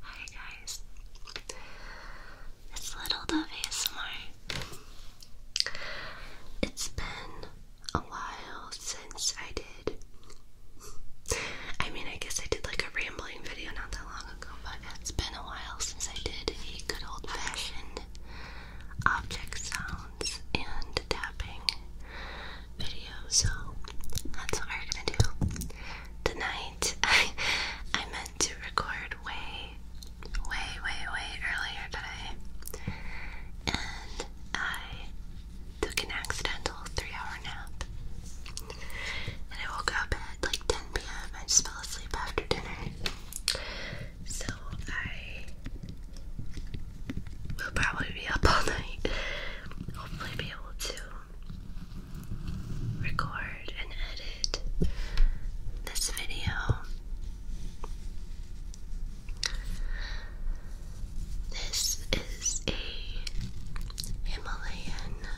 Hi guys, it's Little Dove It's been a while since I did. I mean, I guess I did like a rambling video not that long ago, but it's been a while since I did a good old fashioned object sounds and tapping video. So that's what we're gonna do tonight. I meant to record way, way, way, way earlier today, and I took an accidental three-hour nap. And I woke up at like 10 p.m. I just fell asleep after dinner. So I will probably be up all night. Hopefully, be able to record and edit this video. This is a Himalayan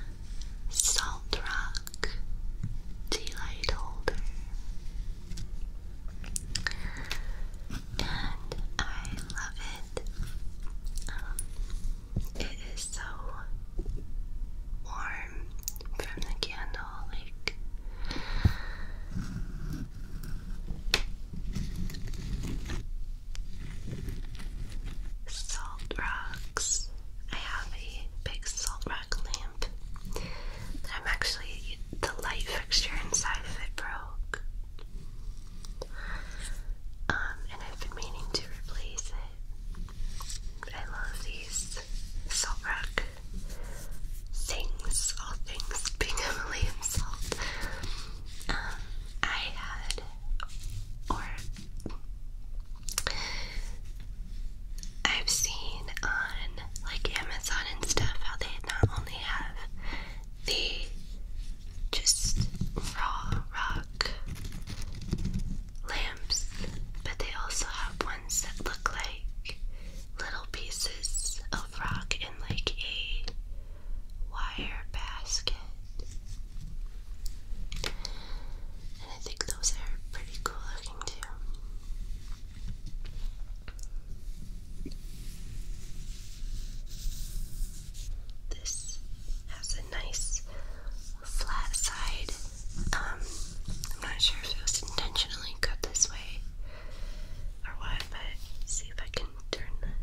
salt rock tea light holder and I love it. Um, it is so warm from the candle, like. Salt rocks. I have a big salt rock black lamp. I'm actually the light fixture inside of it broke. Um, and I've been meaning to replace it. I love these salt rock things, all things being heavily salt. Um, I had, or I've seen on like Amazon and stuff how they not only have the just raw rock lamps, but they also have ones that look like little pieces of rock in like a wire basket. And I think those are pretty cool looking too. This has a nice flat side. Um, I'm not sure if it was intentionally cut this way or what, but see if I can turn this.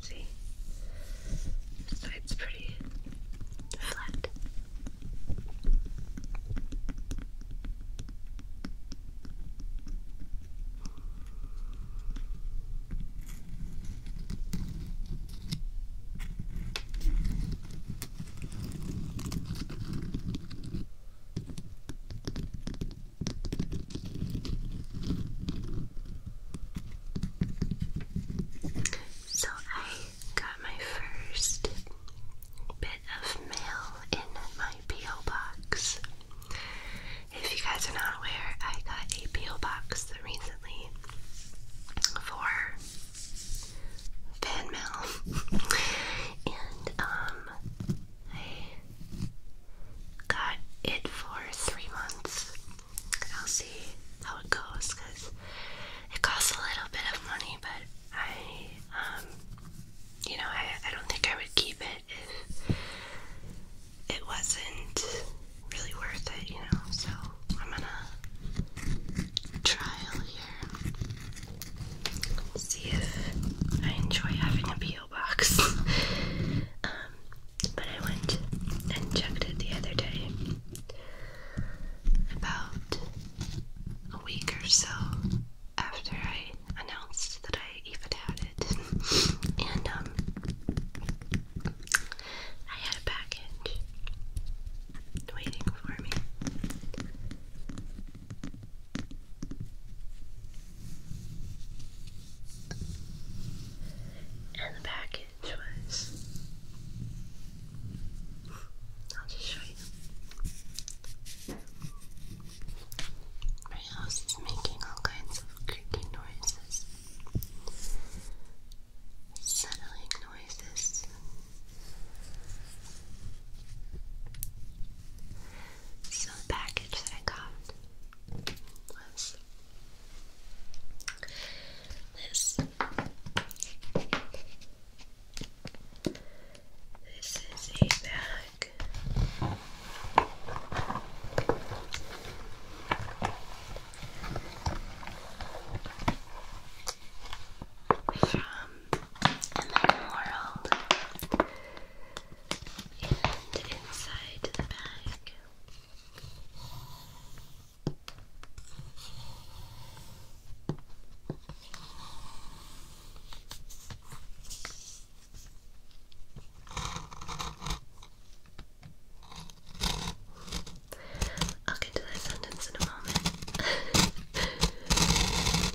See? This side's pretty flat. Okay. So I got my first bit of mail in my P.O. box. If you guys are not aware, I got a P.O. box recently for fan mail. and um I got it for three months. I'll see how it goes because it costs a little bit of money, but I, um, you know, I, I don't think I would keep it if it wasn't really worth it, you know. So I'm gonna trial here see if I enjoy having a peel box. Um, but I went and checked it the other day, about a week or so after I announced that I even had it, and um, I had a package waiting for me. And the package was. I'll just show you. My house is making all kinds of creaky noises, settling noises. So the package that I got was this. This is a bag. From in the world. And inside the bag. I'll get to that sentence in a moment.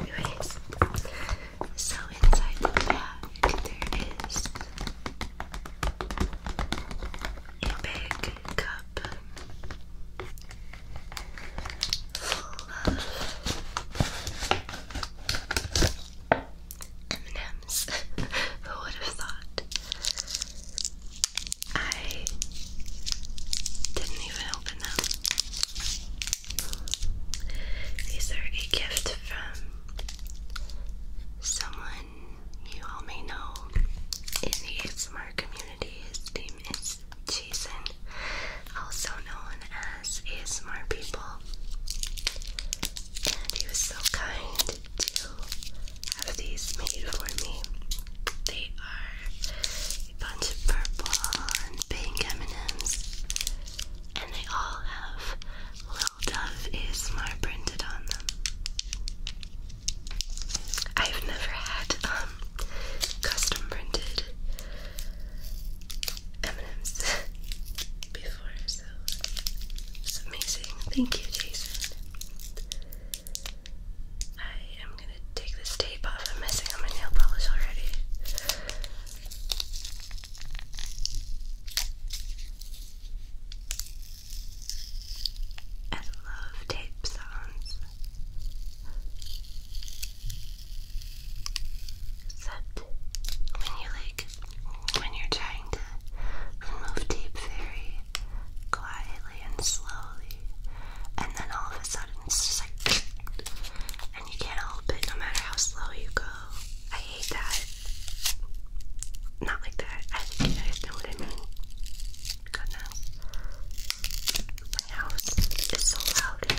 Anyways, so inside the bag there is a big full of M&M's. Who would have thought? I didn't even open them. These are a gift from someone you all may know in the ASMR community. His name is Jason, also known as ASMR People. And he was so kind to have these made for me. They are a bunch of purple and pink M&Ms. And they all have Little Dove is ASMR printed on them. I've never had um, custom printed M&Ms before, so it's amazing. Thank you, Jason. I am gonna take this tape off. I'm missing on my nail polish already. I love tape sounds. Except when you like when you're trying to remove tape very quietly and slowly, and then all of a sudden it's just like, and you can't help it no matter how slow you go. I hate that. Not like that. I think you guys know what I mean. Goodness. My house is so loud.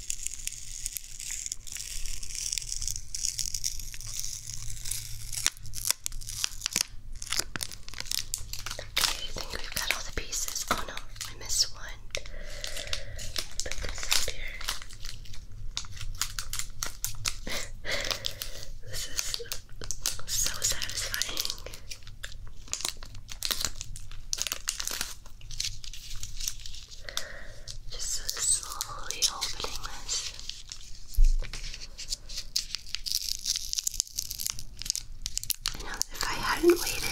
Okay, I think we've got all the pieces. Oh no, I missed one. Put this up here. this is so satisfying. Just slowly opening this. if I hadn't waited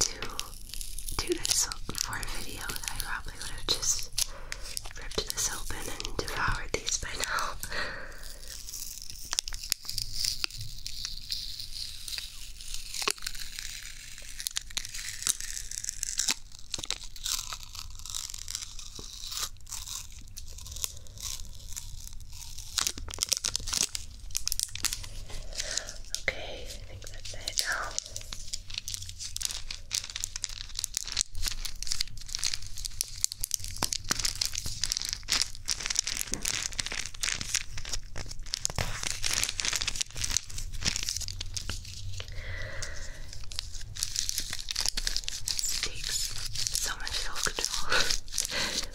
to do this for a video, I probably would have just ripped this open and devoured these by now. Okay, I think that's it. Oh. This takes so much self control. okay.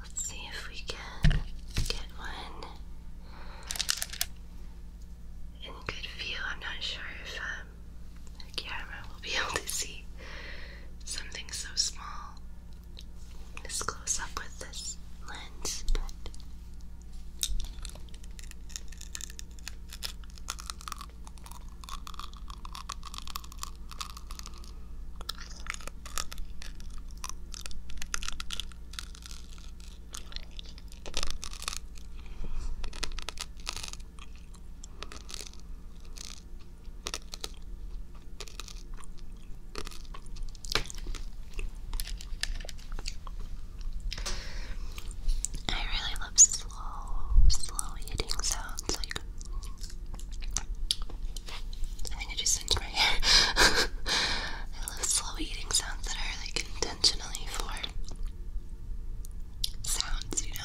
Let's see if we can get one in good view. I'm not sure if um, the camera will be able to see something so small this close up with this lens, but. I really love slow, slow eating sounds. Like, I think I just sent my hair. I love slow eating sounds that are like intentionally for sounds, you know.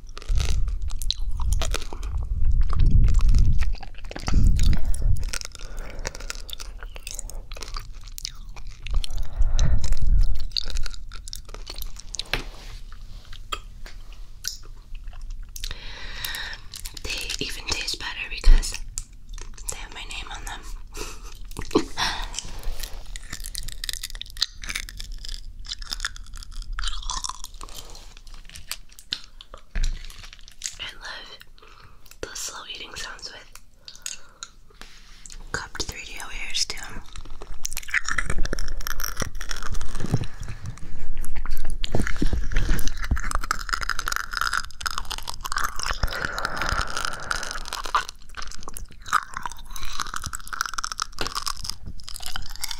They even taste better because they have my name on them and love the slow eating sounds with cupped 3D ears too.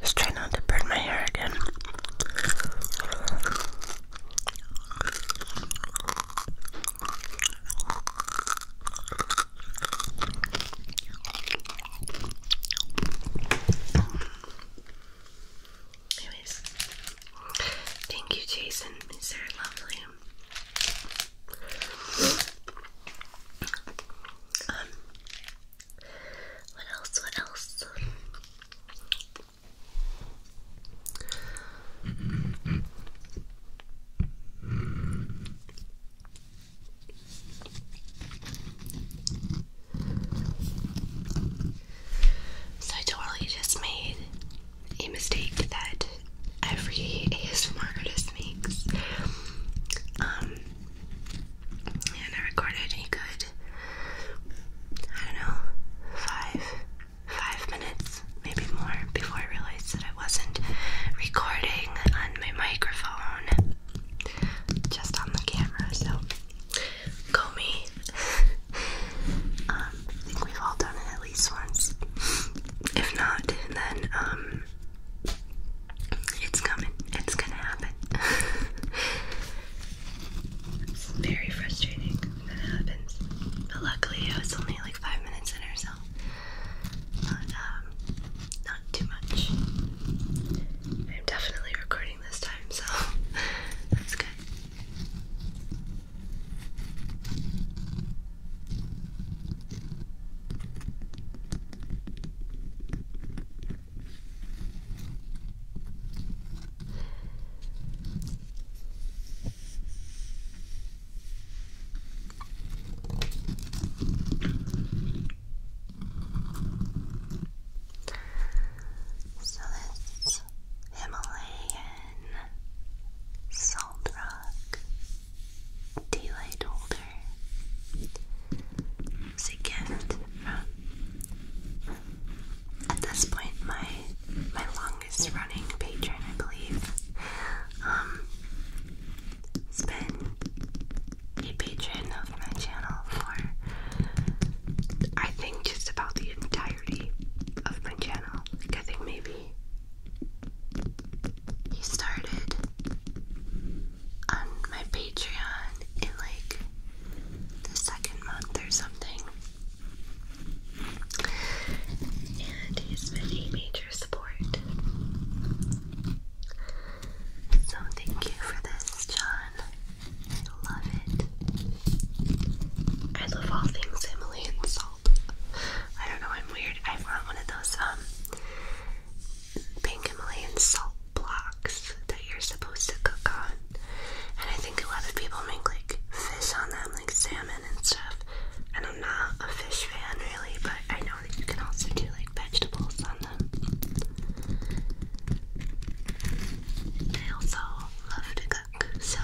let try not to burn my hair again. Anyways, thank you, Jason. He's very lovely. Um, what else? What else? So, totally just made a mistake that every ASMR artist makes. Um, and I recorded a good, I don't know, five, five minutes, maybe more, before I realized that I wasn't recording on my microphone, just on the camera, so go me. Um, I think we've all done it at least once. If not, then um it's coming. It's gonna happen. very frustrating when it happens. But luckily it was only like five minutes in or so. um not too much. I'm definitely recording this time, so that's good. So this Himalayan salt rock tea light It's a gift from, at this point, my my longest running patron, I believe. Um, has been a patron of my channel for, I think, just about the entirety of my channel. I think maybe he started on my Patreon in like the second month or something. And he's been a major support. So thank you for this, John. I love it. I love all things Emily and Saul. I don't know, I'm weird. I want one of those um pink salt blocks that you're supposed to cook on. And I think a lot of people make like fish on them, like salmon and stuff. And I'm not a fish fan really, but I know that you can also do like vegetables on them. I also love to cook, so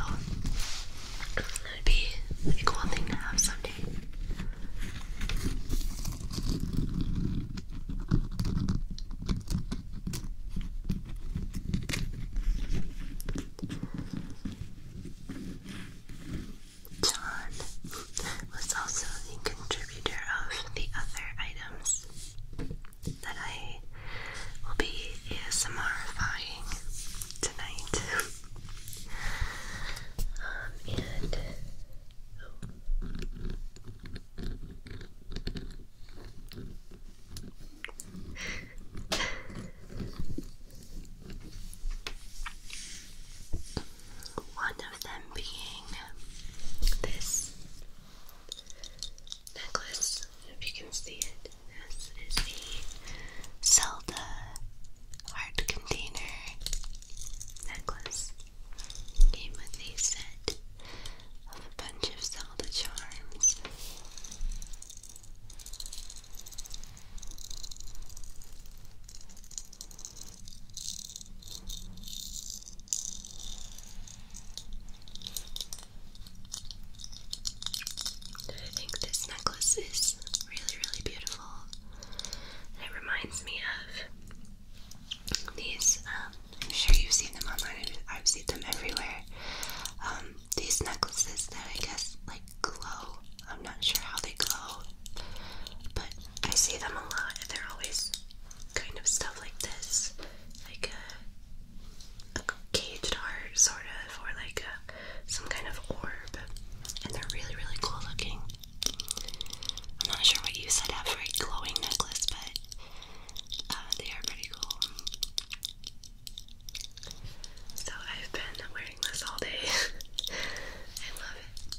That'd be a cool thing to have someday. John was also the contributor of the other items that I will be ASMRifying tonight. Um, and oh. one of them being this necklace. If you can see it, this is the Zelda heart container necklace came with a set of a bunch of Zelda charms. I think this necklace is really, really beautiful it reminds me of these, um, I'm sure you've seen them online, I've seen them everywhere. Um, these necklaces that I guess like glow. I'm not sure how they glow, but I see them a lot and they're always kind of stuff like this. Like a caged heart, sort of, or like a some kind of orb, and they're really, really cool looking. I'm not sure what you said up for a glowing necklace, but uh, they are pretty cool. So I've been wearing this all day. I love it.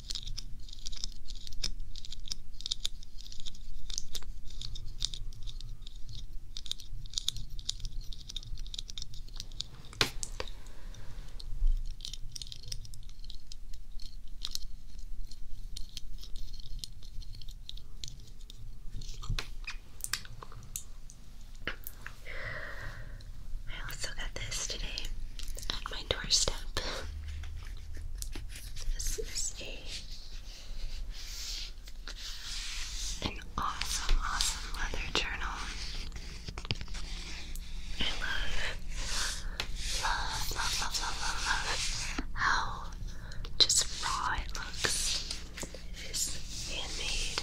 I also got this today at my doorstep. This is a an awesome, awesome leather journal. I love, love, love, love, love, love, how just raw it looks. It is handmade.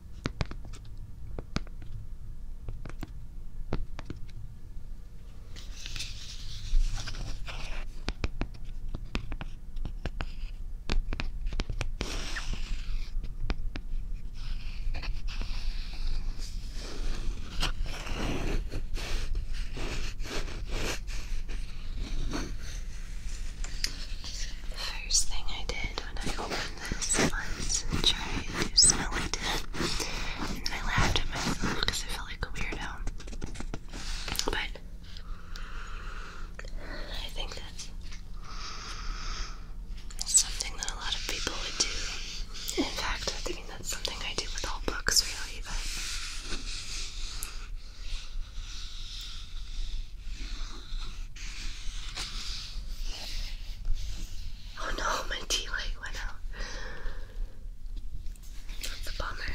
First thing I did when I opened this. was us try to smell like it. And I laughed at myself because I felt like a weirdo. But I think that's something that a lot of people would do. In fact, I think that's something I do with all books, really. Oh no, my tea light went out. That's bummer.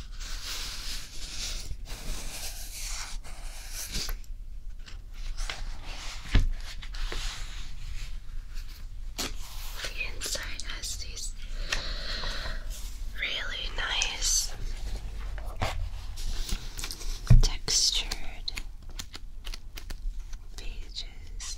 The inside has these really nice textured pages.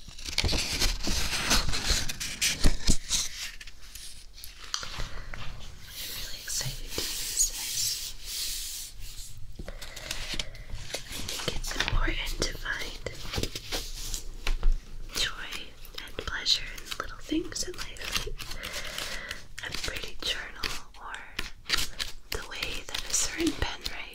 I'm really excited to use this. I think it's important to find joy and pleasure in little things in life. A pretty journal or the way that a certain pen writes.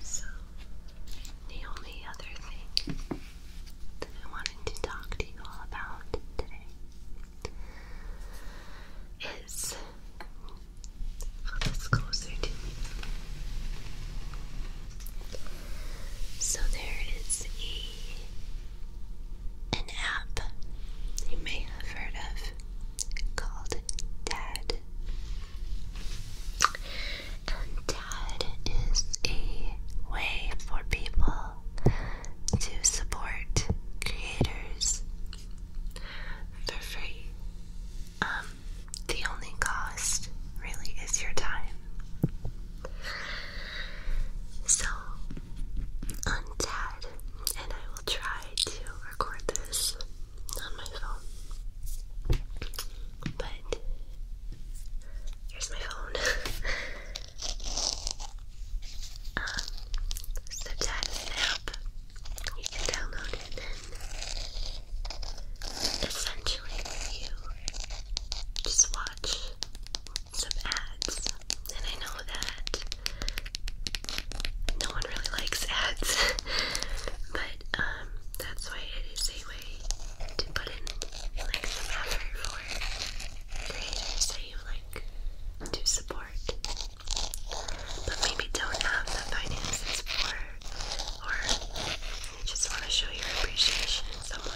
So, the only other thing that I wanted to talk to you all about today is well, this closer to me. So there is a an app you may have heard of called Dad. And Dad is a way for people to support creators for free. Um, the only cost really is your time. So, on Dad, and I will try to record this on my phone. But here's my phone. um, so Dad is You can download it, essentially you just watch some ads. And I know that no one really likes ads, but um, that's why it is a way to put in like some effort for creators that you like to support, but maybe don't have the finances for or just want to show your appreciation in some way.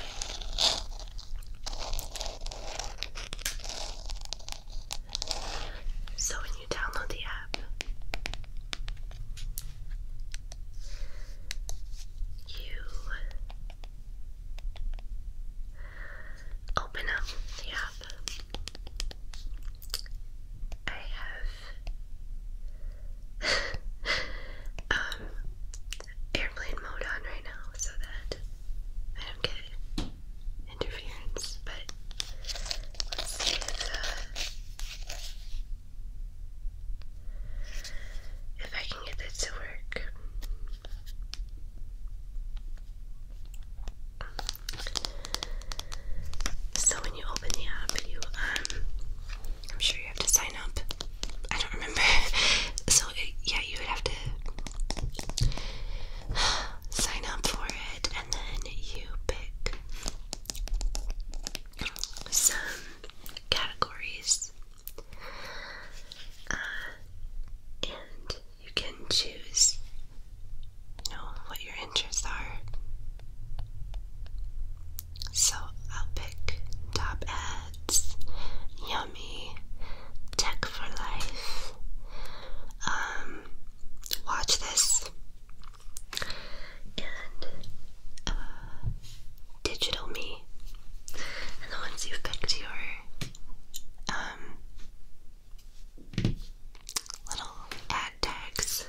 So, when you download the app, you open up the app. I have um, airplane mode on right now so that I don't get interference, but let's see uh, if, I can get this to work. So when you open the app, you um, I'm sure you have to sign up I don't remember. So yeah, you would have to sign up for it, and then you pick some categories, uh, and you can choose, you know, what your interests are. So I'll pick top ads, yummy, tech for life. Um, watch this and uh, digital me, and then once you've picked your um little ad tags,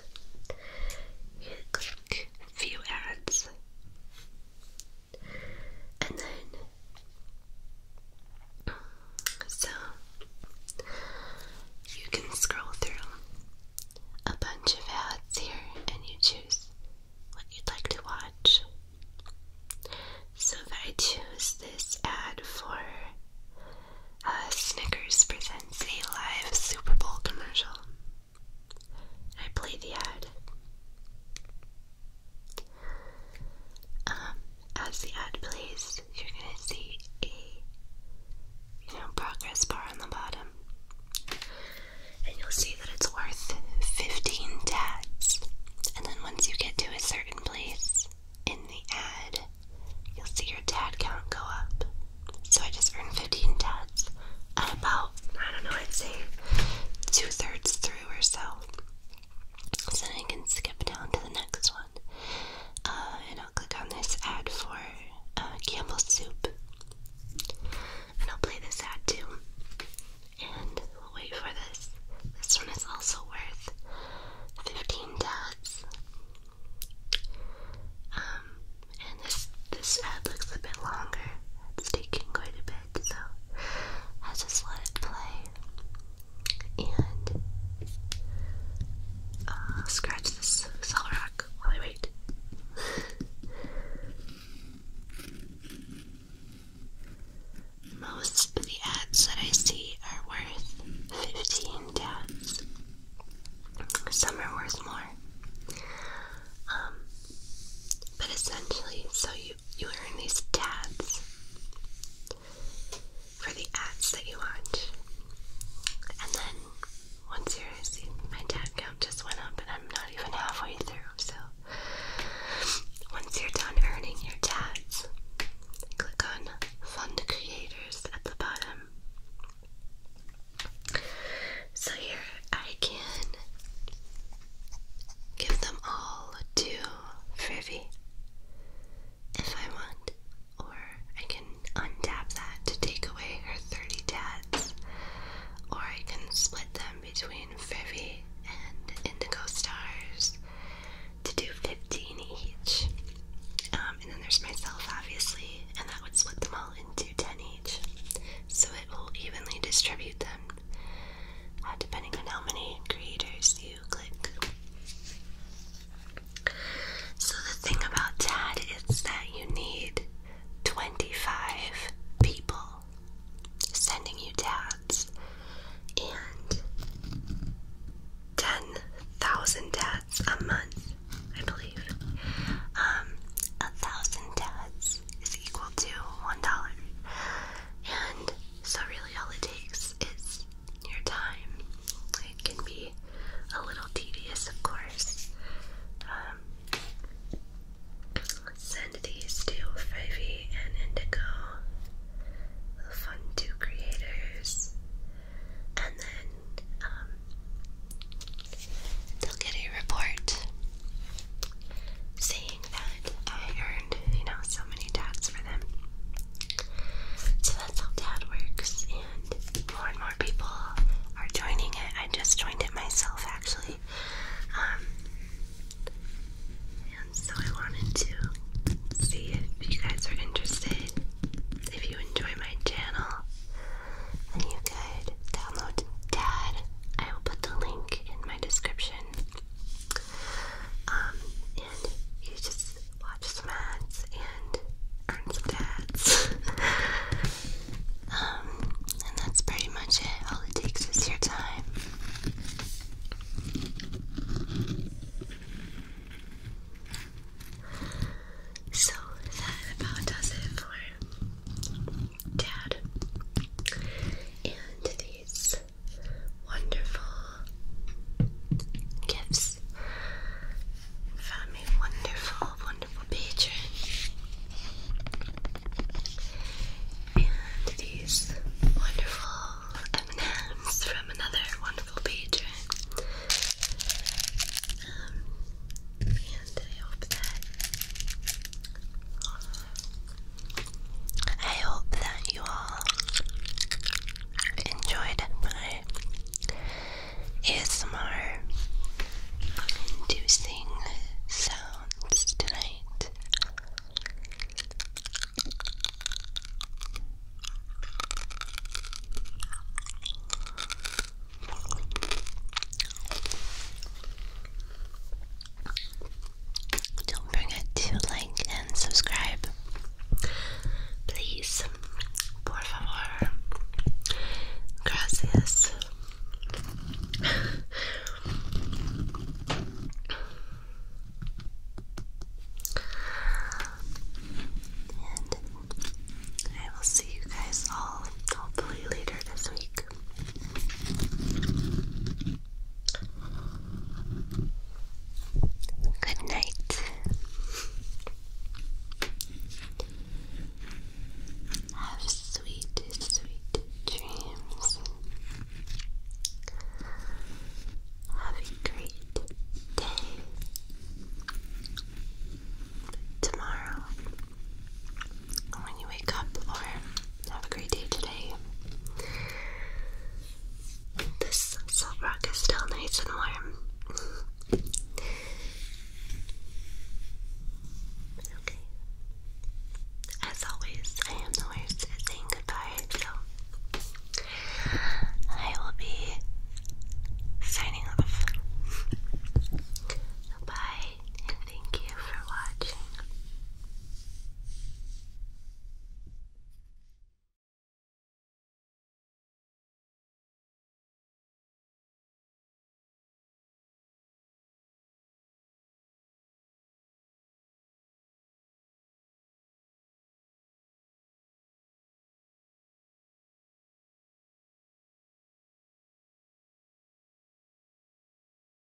you click view ads and then so you can scroll through a bunch of ads here and you choose what you'd like to watch. So if I choose this ad for uh, Snickers presents a live Super Bowl commercial. I played the ad. Um, as the ad plays, you're gonna see a you know progress bar on the bottom, and you'll see that it's worth 15 tats. And then once you get to a certain place in the ad, you'll see your tad count go up. So I just earned 15 tats at about I don't know, I'd say two thirds through or so. So then I can skip down to the next one. Uh, and I'll click on this ad for uh, Campbell's Soup. And I'll play this ad too. And wait for this. This one is also worth 15 tabs. Um, and this, this ad looks a bit longer. It's taking quite a bit so I just let it play and uh, scratch this solid rock while I wait. Most of the ads that I see are worth 15 tabs. Some are worth more. Um, but essentially, so you you earn these tabs for the ads that you watch. And then once you're my tab count just went up and I'm not even halfway through, so once you're done earning your tabs, click on Fund Creators at the bottom. So here I can give them all to Frivy if I want, or I can untap that to take away her 30 tats, or I can split them between Frivy and Indigo Stars to do 15 each. Um, and then there's myself, obviously, and that would split them all into 10 each. So it will evenly distribute them uh, depending on how many creators you click. So, the thing about TAD is that you need 25 people sending you TADs and 10,000 TADs a month, I believe. Um, a thousand TADs is equal to $1. And so, really, all it takes is your time. It can be a little tedious, of course. Um, send these to Fivey and Indigo, the fun two creators, and then um, they'll get a report saying that I earned, you know, so many dads for them. So that's how dad works, and more and more people are joining it. I just joined it myself, actually. Um, and so I wanted to see if you guys are interested. If you enjoy my channel, then you could download Dad. I will put the link in my description. Um, and you just watch some ads and earn some dads. Um, and that's pretty much it. All it takes is your time. So that about does it for Dad, and these wonderful gifts from a wonderful, wonderful patron, and these wonderful M&Ms from another wonderful patron. Um, and I hope that I hope that you all enjoyed my ASMR inducing sounds tonight. Don't forget to like and subscribe. Please. Por favor. Gracias. and I will see you guys all hopefully later this week. Good night. Have sweet, sweet dreams. Have a great day. Tomorrow when you wake up or have a great day today. This salt rock is still nice and warm. okay. As always, I am the worst at saying goodbye, so I will be signing off. Bye and thank you for watching.